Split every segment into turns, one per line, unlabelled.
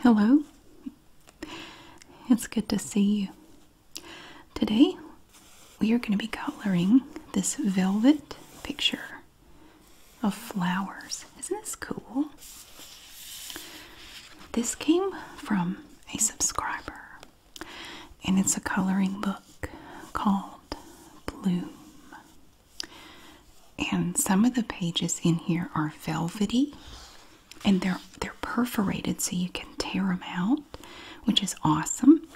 Hello. It's good to see you. Today we are going to be coloring this velvet picture of flowers. Isn't this cool? This came from a subscriber and it's a coloring book called Bloom. And some of the pages in here are velvety and they're they're perforated so you can tear them out, which is awesome.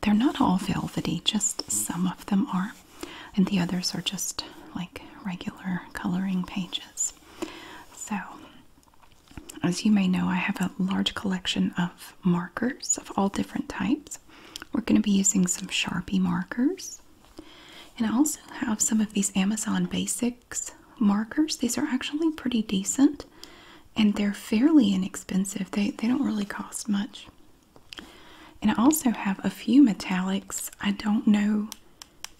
They're not all velvety, just some of them are. And the others are just like regular coloring pages. So, as you may know, I have a large collection of markers of all different types. We're going to be using some Sharpie markers. And I also have some of these Amazon Basics markers. These are actually pretty decent and they're fairly inexpensive. They, they don't really cost much. And I also have a few metallics. I don't know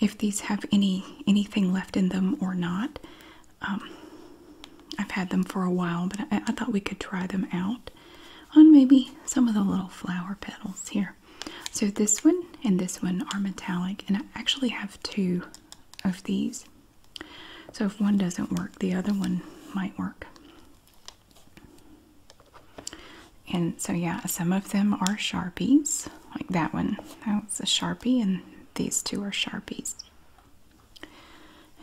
if these have any anything left in them or not. Um, I've had them for a while, but I thought we could try them out on maybe some of the little flower petals here. So this one and this one are metallic and I actually have two of these. So if one doesn't work, the other one might work. And so yeah, some of them are Sharpies, like that one. That was a Sharpie and these two are Sharpies.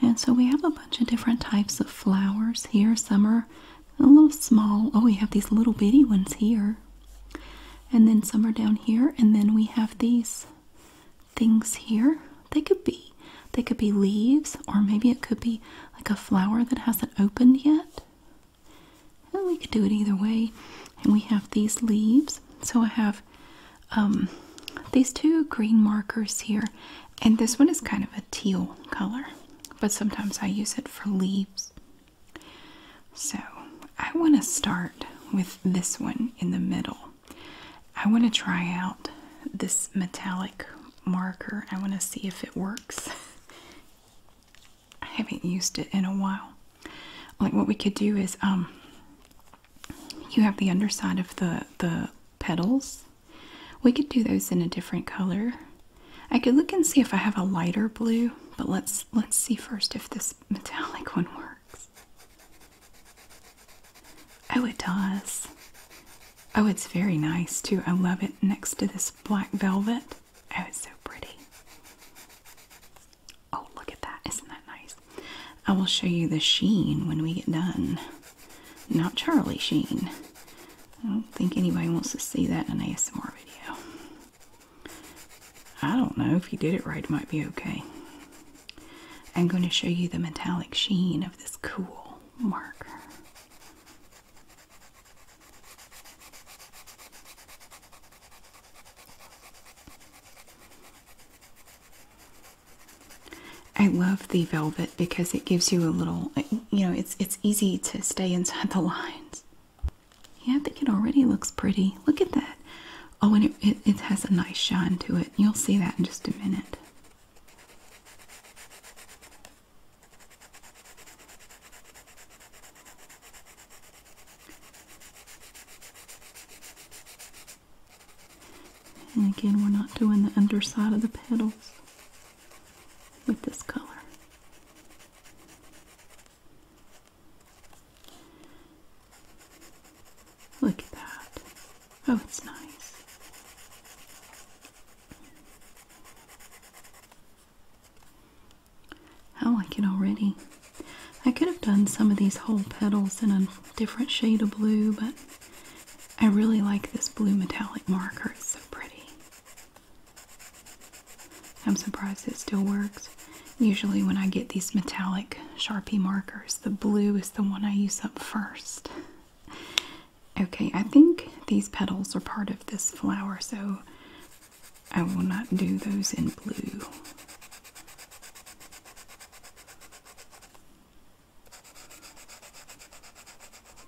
And so we have a bunch of different types of flowers here. Some are a little small. Oh, we have these little bitty ones here. And then some are down here. And then we have these things here. They could be they could be leaves or maybe it could be like a flower that hasn't opened yet. And we could do it either way. And we have these leaves. So I have um, these two green markers here. And this one is kind of a teal color, but sometimes I use it for leaves. So I want to start with this one in the middle. I want to try out this metallic marker. I want to see if it works. I haven't used it in a while. Like what we could do is um you have the underside of the the petals we could do those in a different color. I could look and see if I have a lighter blue, but let's let's see first if this metallic one works. Oh, it does. Oh, it's very nice too. I love it next to this black velvet. Oh, it's so pretty. Oh, look at that. Isn't that nice? I will show you the sheen when we get done not Charlie Sheen. I don't think anybody wants to see that in an ASMR video. I don't know if you did it right, it might be okay. I'm going to show you the metallic sheen of this cool marker. I love the velvet because it gives you a little, you know, it's it's easy to stay inside the lines. Yeah, I think it already looks pretty. Look at that. Oh, and it, it, it has a nice shine to it. You'll see that in just a minute. And again, we're not doing the underside of the petals with this color. Look at that. Oh, it's nice. I like it already. I could have done some of these whole petals in a different shade of blue, but I really like this blue metallic marker. It's so pretty. I'm surprised it still works. Usually, when I get these metallic Sharpie markers, the blue is the one I use up first. Okay, I think these petals are part of this flower, so I will not do those in blue.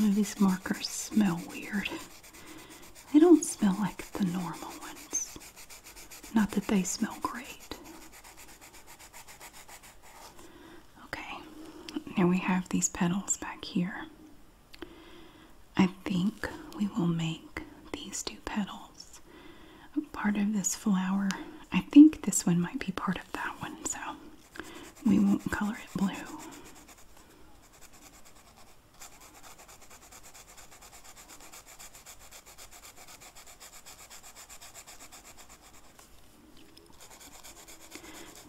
I these markers smell weird. They don't smell like the normal ones. Not that they smell great. Okay, now we have these petals back here. I think we will make these two petals part of this flower. I think this one might be part of that one, so we won't color it blue.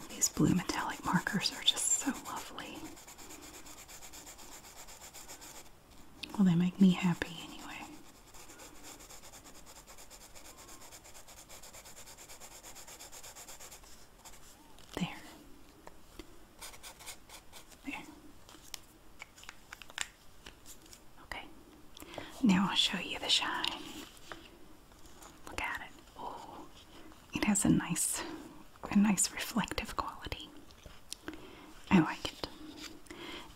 These blue metallic markers are just so lovely. Well, they make me happy anyway. There. There. Okay, now I'll show you the shine. Look at it. Oh, it has a nice, a nice reflective quality. I like it.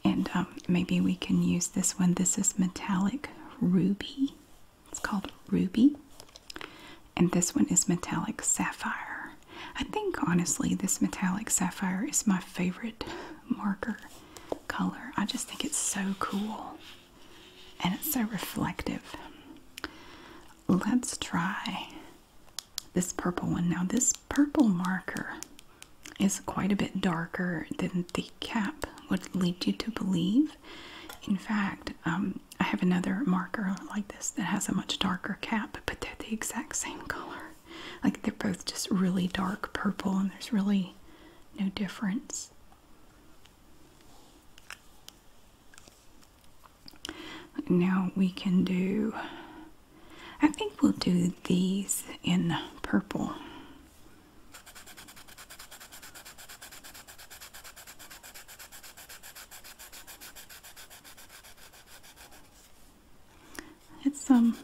And um, maybe we can use this one. This is metallic ruby. It's called ruby. And this one is metallic sapphire. I think honestly, this metallic sapphire is my favorite marker color. I just think it's so cool and it's so reflective. Let's try this purple one. Now, this purple marker is quite a bit darker than the cap would lead you to believe. In fact, um, I have another marker like this that has a much darker cap, but they're the exact same color. Like they're both just really dark purple, and there's really no difference. Now we can do, I think we'll do these in purple. It's um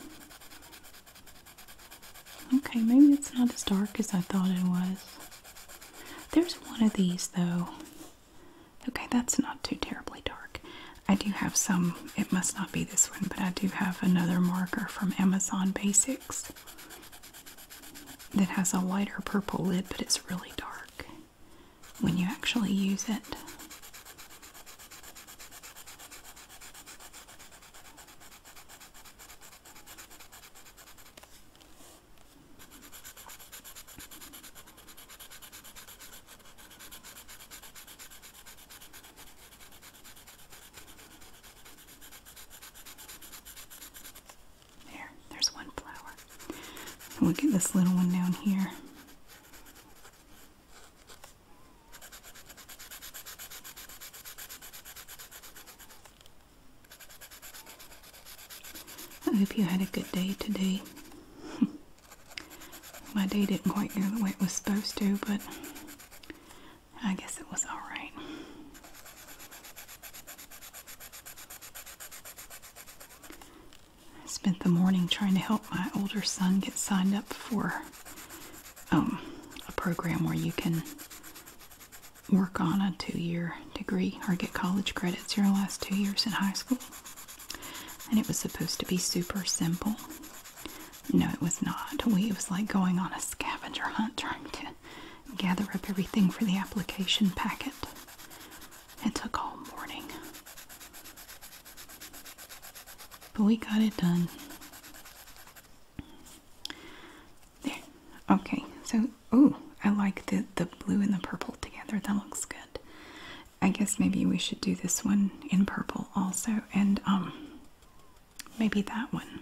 okay, maybe it's not as dark as I thought it was. There's one of these though. Okay, that's not too terribly dark. I do have some, it must not be this one, but I do have another marker from Amazon Basics that has a lighter purple lid, but it's really dark when you actually use it. There, there's one flower. And we this little one down here. I hope you had a good day today. My day didn't quite go the way it was supposed to, but I guess it was alright. I spent the morning trying to help my older son get signed up for um, a program where you can work on a two-year degree or get college credits your last two years in high school. And it was supposed to be super simple. No, it was not. We, was like going on a scavenger hunt trying to gather up everything for the application packet. It took all morning. But we got it done. There. Okay. So, oh, I like the, the blue and the purple together. That looks good. I guess maybe we should do this one in purple also. And, um, maybe that one.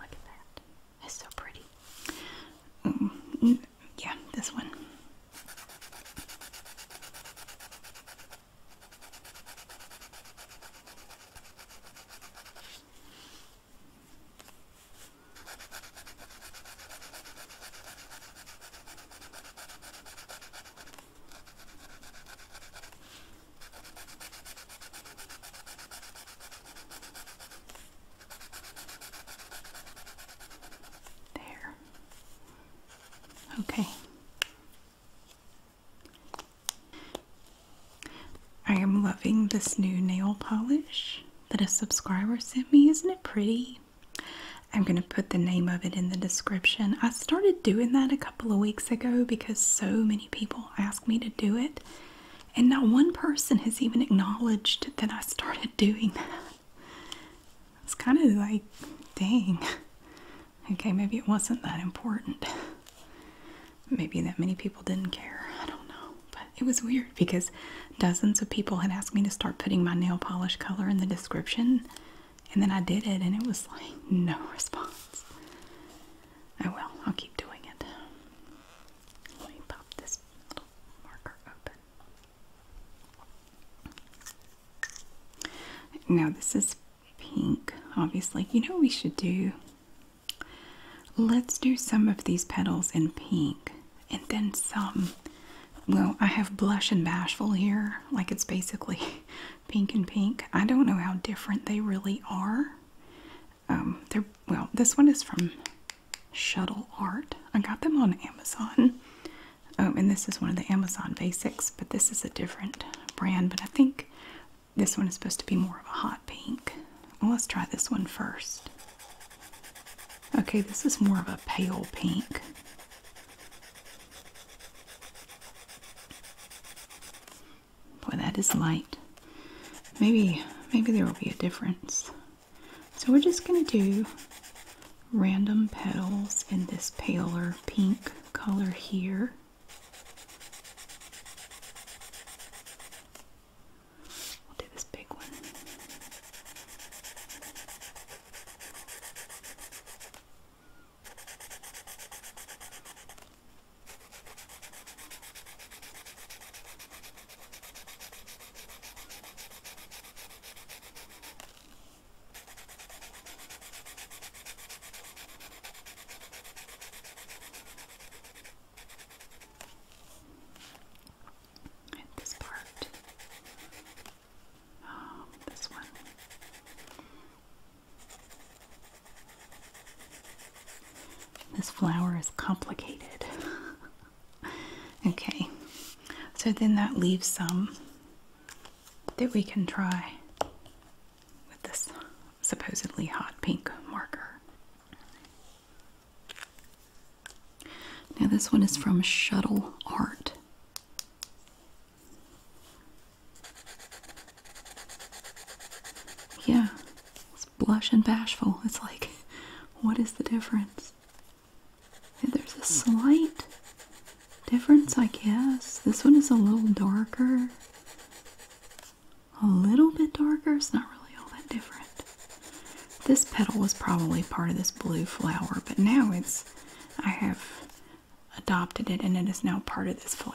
Look at that. It's so pretty. Mm, yeah, this one. There. Okay. I am loving this new nail polish that a subscriber sent me. Isn't it pretty? I'm going to put the name of it in the description. I started doing that a couple of weeks ago because so many people asked me to do it, and not one person has even acknowledged that I started doing that. It's kind of like, dang. Okay, maybe it wasn't that important. Maybe that many people didn't care. I don't know. But it was weird because dozens of people had asked me to start putting my nail polish color in the description. And then I did it, and it was like no response. I oh, will. I'll keep doing it. Let me pop this little marker open. Now, this is pink, obviously. You know what we should do? Let's do some of these petals in pink and then some. Well, I have blush and bashful here, like it's basically pink and pink. I don't know how different they really are. Um, they're well, this one is from Shuttle Art. I got them on Amazon. Um, and this is one of the Amazon Basics, but this is a different brand. But I think this one is supposed to be more of a hot pink. Well, let's try this one first. Okay, this is more of a pale pink. Boy, that is light. Maybe, maybe there will be a difference. So we're just going to do random petals in this paler pink color here. We'll do this big one this part, oh, this one. This flower is complicated. Okay, so then that leaves some that we can try with this supposedly hot pink marker. Now, this one is from Shuttle Art. Yeah, it's blush and bashful. It's like, what is the difference? There's a slight difference, I guess. This one is a little darker. A little bit darker. It's not really all that different. This petal was probably part of this blue flower, but now it's, I have adopted it and it is now part of this flower.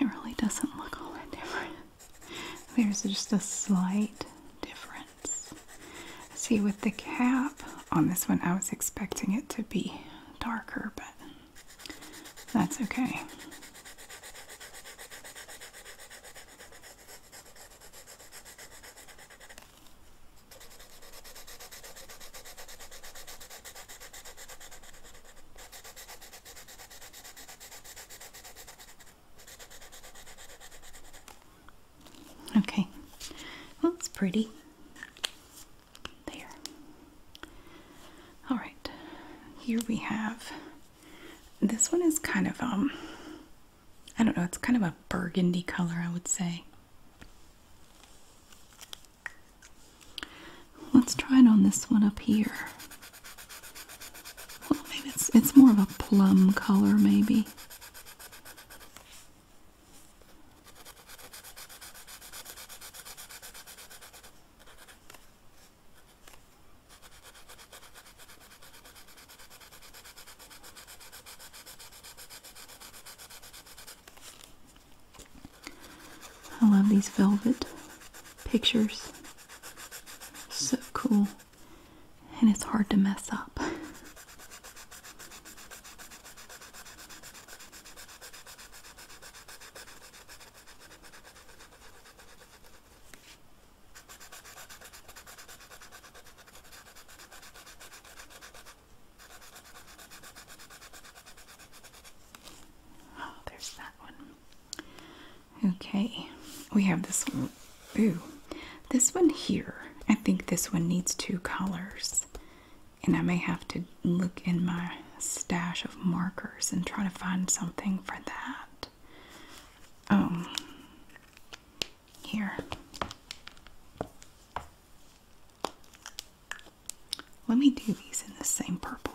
It really doesn't look all that different. There's just a slight difference. See, with the cap on this one, I was expecting it to be darker, but that's okay. Okay, well, it's pretty. There. All right, here we have this one is kind of, um, I don't know, it's kind of a burgundy color, I would say. Let's try it on this one up here. Well, maybe it's it's more of a plum color, maybe. I love these velvet pictures. So cool. And it's hard to mess up. Oh, there's that one. Okay, we have this Ooh, this one here. I think this one needs two colors. And I may have to look in my stash of markers and try to find something for that. Um, here. Let me do these in the same purple.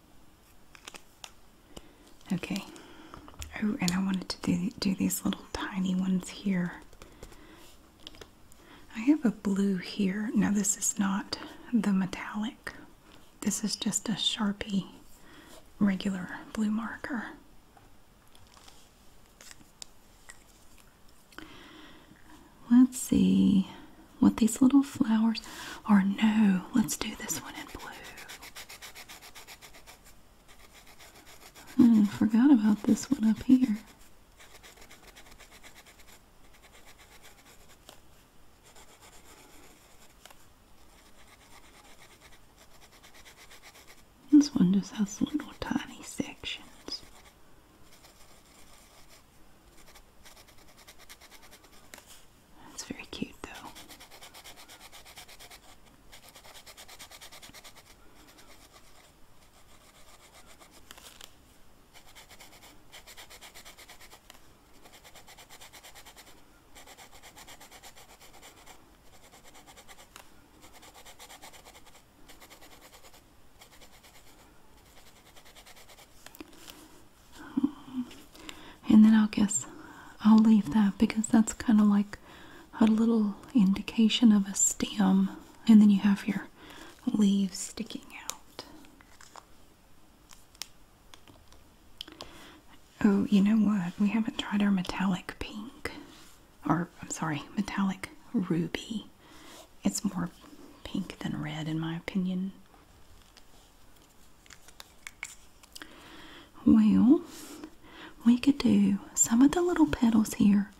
Okay. Oh, and I wanted to do, do these little tiny ones here. I have a blue here. Now, this is not the metallic, this is just a Sharpie regular blue marker. Let's see what these little flowers are. No, let's do this one in blue. Hmm, I forgot about this one up here. This one just has little tiny sections. That's very cute though and then i guess I'll leave that because that's kind of like a little indication of a stem and then you have your leaves sticking out. Oh, you know what? We haven't tried our metallic pink or I'm sorry, metallic ruby. It's more pink than red in my opinion. Well, we could do some of the little petals here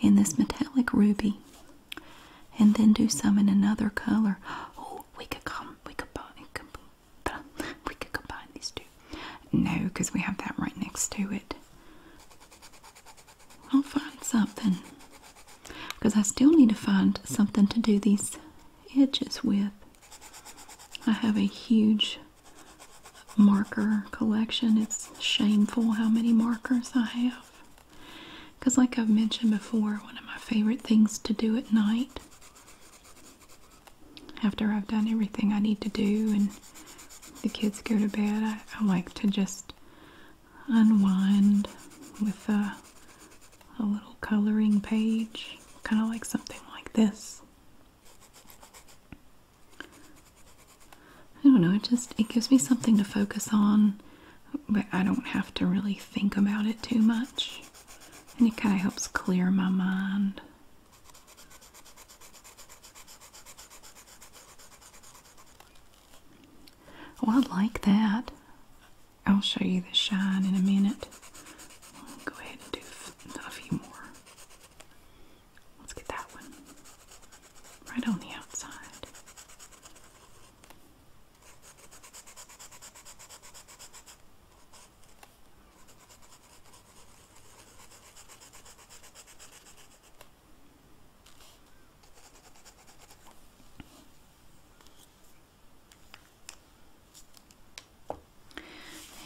in this metallic ruby and then do some in another color. Oh, we could come, we could buy, we could combine these two. No, because we have that right next to it. I'll find something because I still need to find something to do these edges with. I have a huge marker collection. It's shameful how many markers I have. Because, like I've mentioned before, one of my favorite things to do at night after I've done everything I need to do and the kids go to bed, I, like to just unwind with a uh, a little coloring page, kind of like something like this. I don't know, it just it gives me something to focus on, but I don't have to really think about it too much. And it kind of helps clear my mind. Oh, I like that. I'll show you the shine in a minute. go ahead and do a few more. Let's get that one right on the outside.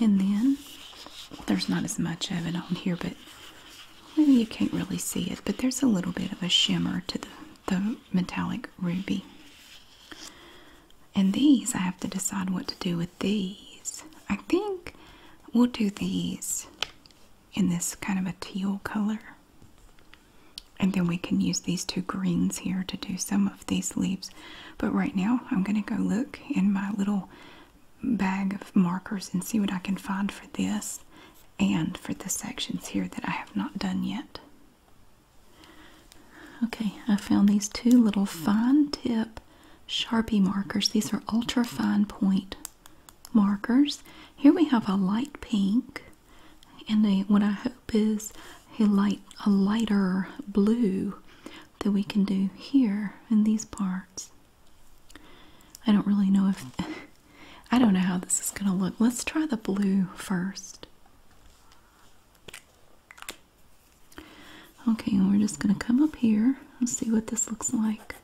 And then there's not as much of it on here, but maybe you can't really see it, but there's a little bit of a shimmer to the, the metallic ruby. And these, I have to decide what to do with these. I think we'll do these in this kind of a teal color. And then we can use these two greens here to do some of these leaves. But right now, I'm going to go look in my little bag of markers and see what I can find for this and for the sections here that I have not done yet. Okay, I found these two little fine tip Sharpie markers. These are ultra fine point markers. Here we have a light pink and a, what I hope is a light a lighter blue that we can do here in these parts. I don't really know if I don't know how this is going to look. Let's try the blue first. Okay, we're just going to come up here and see what this looks like.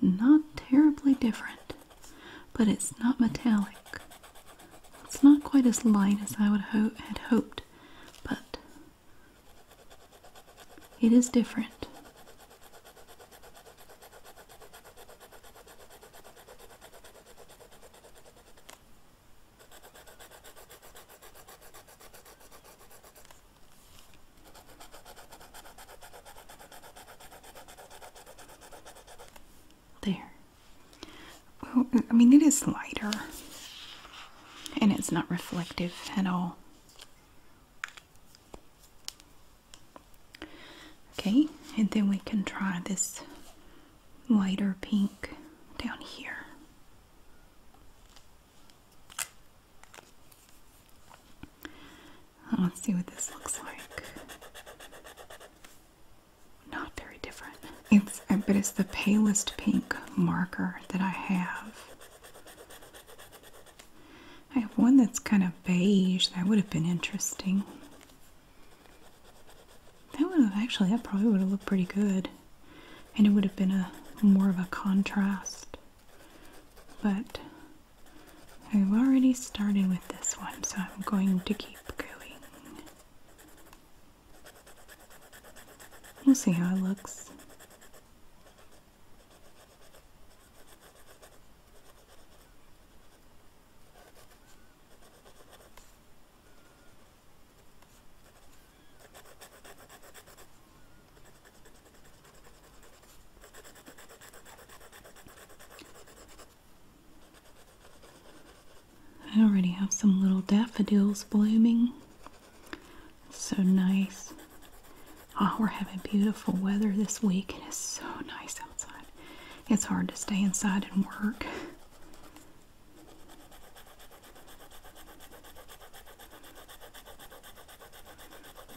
Not terribly different but it's not metallic. It's not quite as light as I would had hoped, but it is different. There. I mean, it is lighter. And it's not reflective at all. Okay, and then we can try this lighter pink down here. Let's see what this looks like not very different. It's uh, but it's the palest pink marker that I have. I have one that's kind of beige. That would have been interesting. That would have actually that probably would have looked pretty good. And it would have been a more of a contrast. But I've already started with this one, so I'm going to keep going. We'll see how it looks. I already have some little daffodils blooming. so nice. Oh, we're having beautiful weather this week, and it's so nice outside. It's hard to stay inside and work.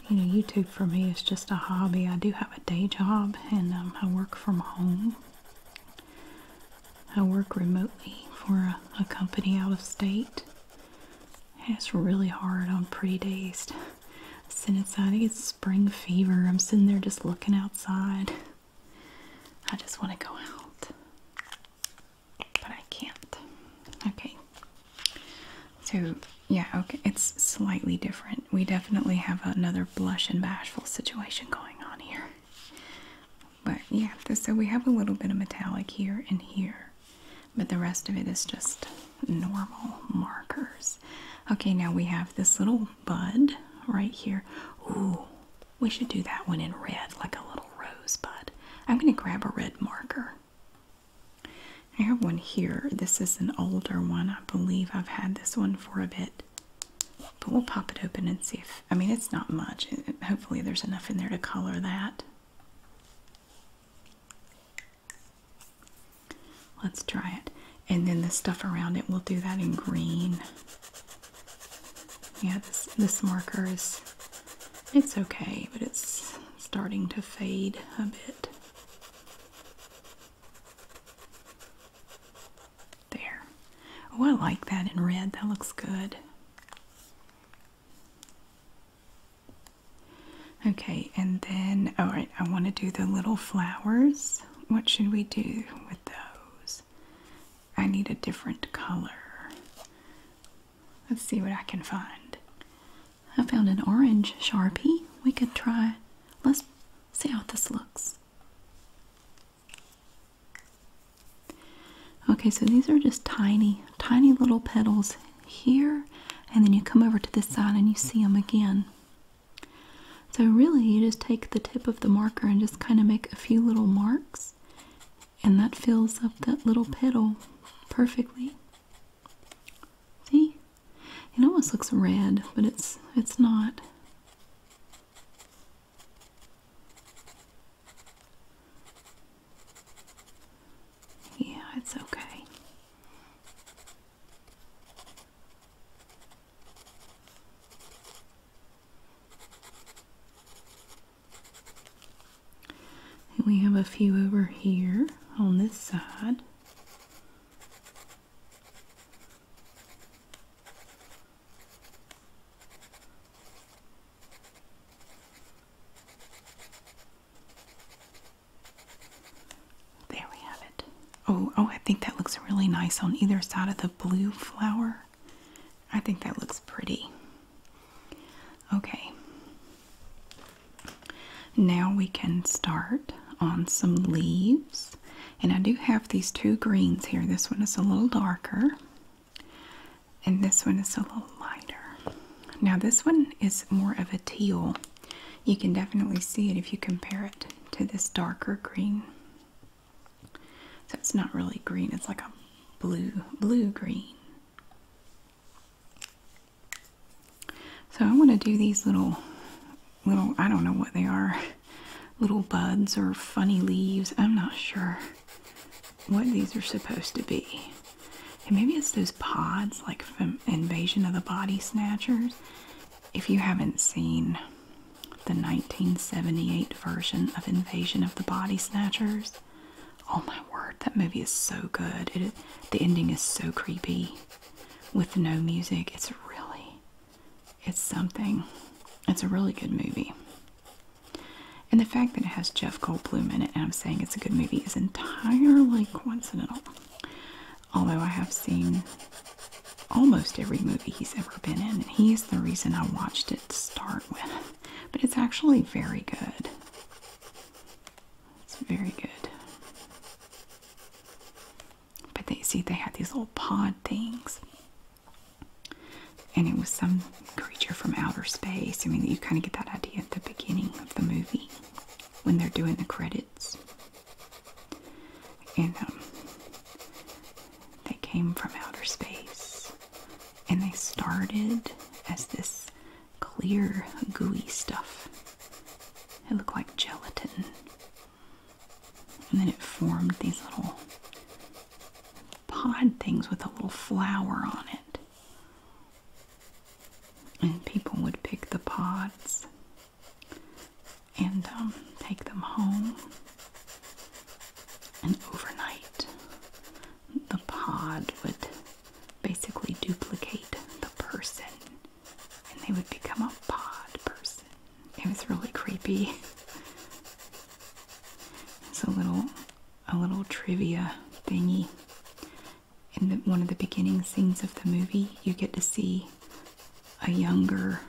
You know, YouTube for me is just a hobby. I do have a day job, and um, I work from home. I work remotely for a, company out of state. it's really hard on pretty days to sit inside. I get spring fever. I'm sitting there just looking outside. I just want to go out. But I can't. Okay. So, yeah, okay. It's slightly different we definitely have another blush and bashful situation going on here. But yeah, so we have a little bit of metallic here and here, but the rest of it is just normal markers. Okay, now we have this little bud right here. Ooh, we should do that one in red, like a little rosebud. I'm going to grab a red marker. I have one here. This is an older one. I believe I've had this one for a bit. But we'll pop it open and see if, I mean, it's not much. Hopefully, there's enough in there to color that. Let's try it. And then the stuff around it, we'll do that in green. Yeah, this, this marker is, it's okay, but it's starting to fade a bit. There. Oh, I like that in red. That looks good. Okay, and then, all right, I want to do the little flowers. What should we do with those? I need a different color. Let's see what I can find. I found an orange Sharpie. We could try, let's see how this looks. Okay, so these are just tiny, tiny little petals here, and then you come over to this side and you see them again. So, really, you just take the tip of the marker and just kind of make a few little marks, and that fills up that little petal perfectly. See? It almost looks red, but it's it's not. Yeah, it's okay. we have a few over here on this side. There we have it. Oh, oh, I think that looks really nice on either side of the blue flower. I think that looks pretty. Okay. Now we can start on some leaves. And I do have these two greens here. This one is a little darker, and this one is a little lighter. Now, this one is more of a teal. You can definitely see it if you compare it to this darker green. So it's not really green, it's like a blue, blue green. So I want to do these little little, I don't know what they are, little buds or funny leaves. I'm not sure what these are supposed to be. maybe it's those pods like from Invasion of the Body Snatchers. If you haven't seen the 1978 version of Invasion of the Body Snatchers, oh my word, that movie is so good. the ending is so creepy with no music. It's really it's something. It's a really good movie. And the fact that it has Jeff Goldblum in it, and I'm saying it's a good movie, is entirely coincidental. Although I have seen almost every movie he's ever been in, and he is the reason I watched it start with. But it's actually very good. It's very good. But they see they had these little pod things. And it was some creature from outer space. I mean, you kind of get that idea at the beginning of the movie when they're doing the credits. And um, they came from outer space. And they started as this clear, gooey stuff. It looked like gelatin. And then it formed these little pod things with a little flower on it. And people would pick the pods and um, take them home. And overnight, the pod would basically duplicate the person, and they would become a pod person. It was really creepy. It's a little a little trivia thingy. In one of the beginning scenes of the movie, you get to see a younger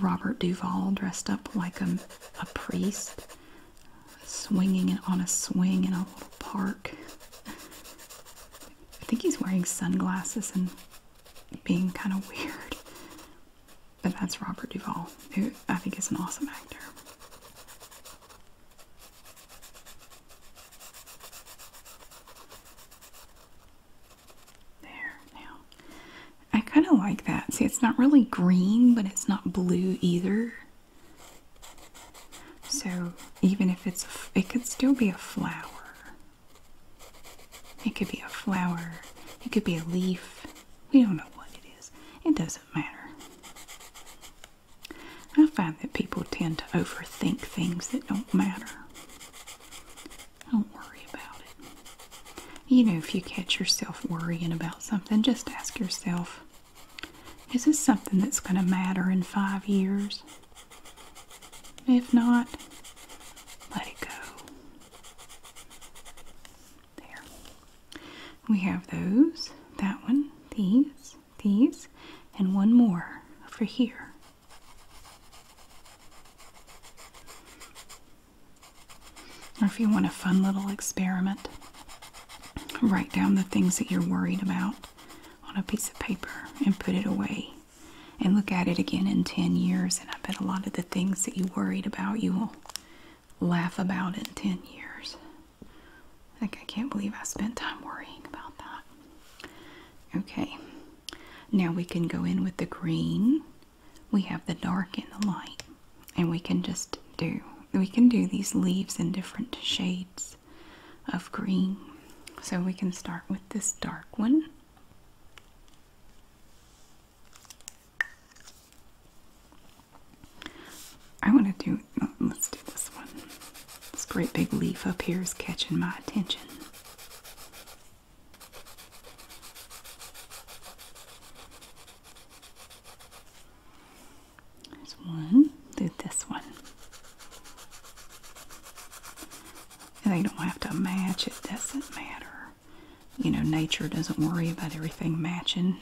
Robert Duvall dressed up like a, a priest, swinging it on a swing in a little park. I think he's wearing sunglasses and being kind of weird. But that's Robert Duvall, who I think is an awesome actor. There now. I kind of like that. See, it's not really green, but it's not blue either. So even if it's, it could still be a flower. It could be a flower, it could be a leaf. We don't know what it is. It doesn't matter. I find that people tend to overthink things that don't matter. Don't worry about it. You know, if you catch yourself worrying about something, just ask yourself is this something that's going to matter in five years? If not, let it go. There. We have those, that one, these, these, and one more for here. Or if you want a fun little experiment, write down the things that you're worried about on a piece of paper and put it away and look at it again in 10 years. And I bet a lot of the things that you worried about, you will laugh about in 10 years. Like, I can't believe I spent time worrying about that. Okay, now we can go in with the green. We have the dark and the light, and we can just do we can do these leaves in different shades of green. So we can start with this dark one. I want to do, let's do this one. This great big leaf up here is catching my attention. There's one, do this one. They don't have to match, it doesn't matter you know, nature doesn't worry about everything matching.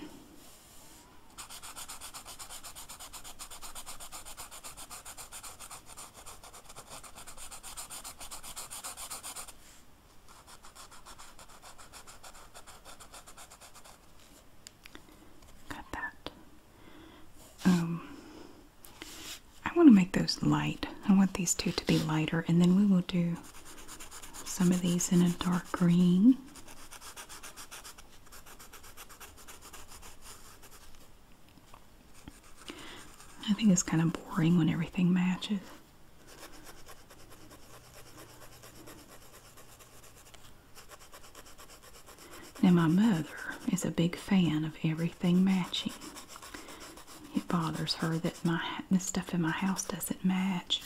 Got that. Um, I want to make those light. I want these two to be lighter, and then we will do some of these in a dark green. I think it's kind of boring when everything matches. Now, my mother is a big fan of everything matching. It bothers her that my the stuff in my house doesn't match.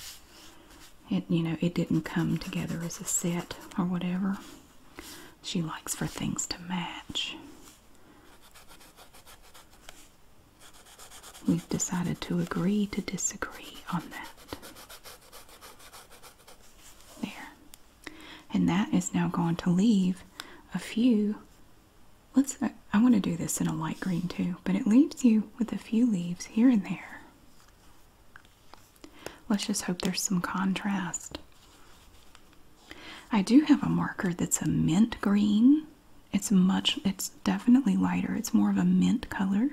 It you know it didn't come together as a set or whatever. She likes for things to match. We've decided to agree to disagree on that. There. And that is now going to leave a few Let's, I, want to do this in a light green too, but it leaves you with a few leaves here and there. Let's just hope there's some contrast. I do have a marker that's a mint green. It's much, it's definitely lighter. It's more of a mint color.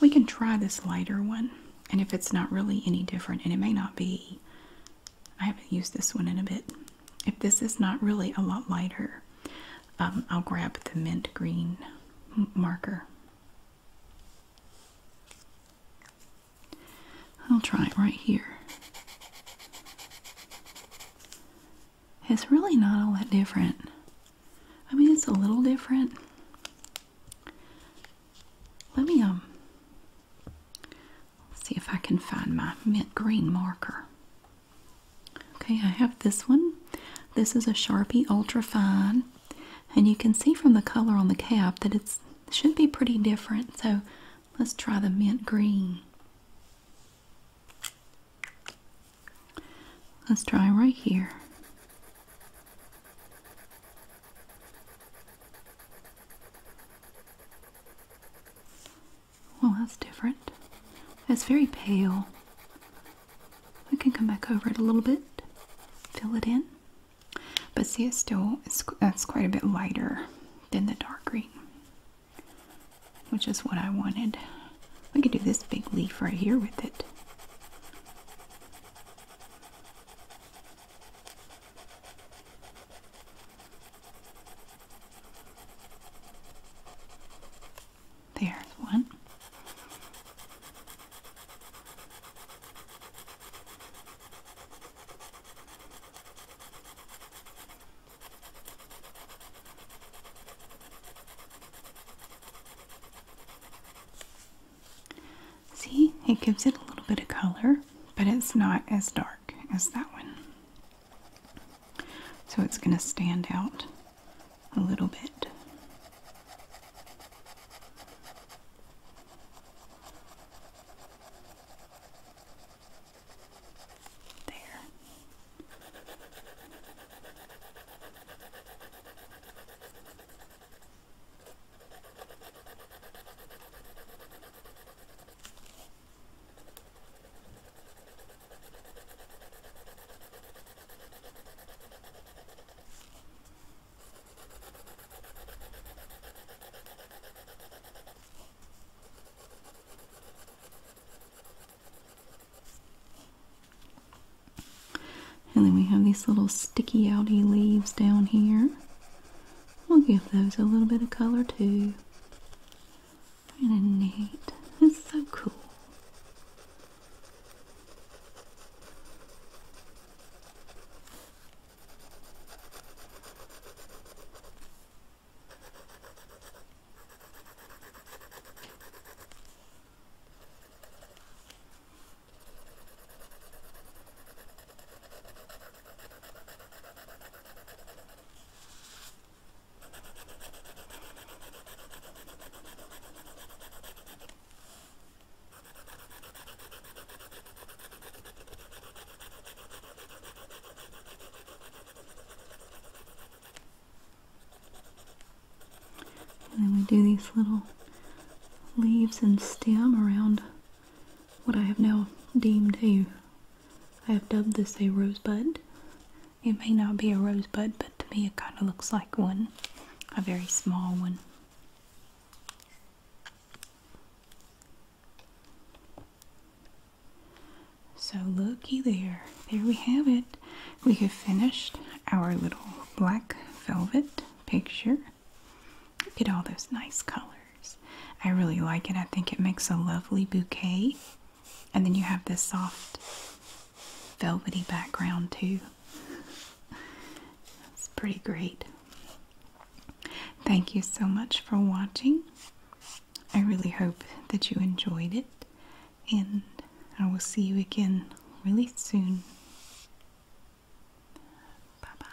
We can try this lighter one. And if it's not really any different, and it may not be, I haven't used this one in a bit. If this is not really a lot lighter, um, I'll grab the mint green marker. I'll try it right here. It's really not all that different. I mean, it's a little different. Let me, um, see if I can find my mint green marker. Okay, I have this one. This is a Sharpie Ultra Fine, and you can see from the color on the cap that it should be pretty different. So let's try the mint green. Let's try right here. Well, that's different. It's very pale. We can come back over it a little bit, fill it in. But see, it's still, it's, quite a bit lighter than the dark green, which is what I wanted. We can do this big leaf right here with it. There's one. See, it gives it a little bit of color, but it's not as dark as that one. So it's going to stand out a little bit. There. And then we have these little sticky outie leaves down here. We'll give those a little bit of color too. Really neat. It's so cool. And then we do these little leaves and stem around what I have now deemed a, I have dubbed this a rosebud. It may not be a rosebud, but to me it kind of looks like one. A very small one. So, looky there. There we have it. We have finished our little black velvet picture. Look at all those nice colors. I really like it. I think it makes a lovely bouquet. And then you have this soft, velvety background, too. It's pretty great. Thank you so much for watching. I really hope that you enjoyed it, and I will see you again really soon. Bye bye.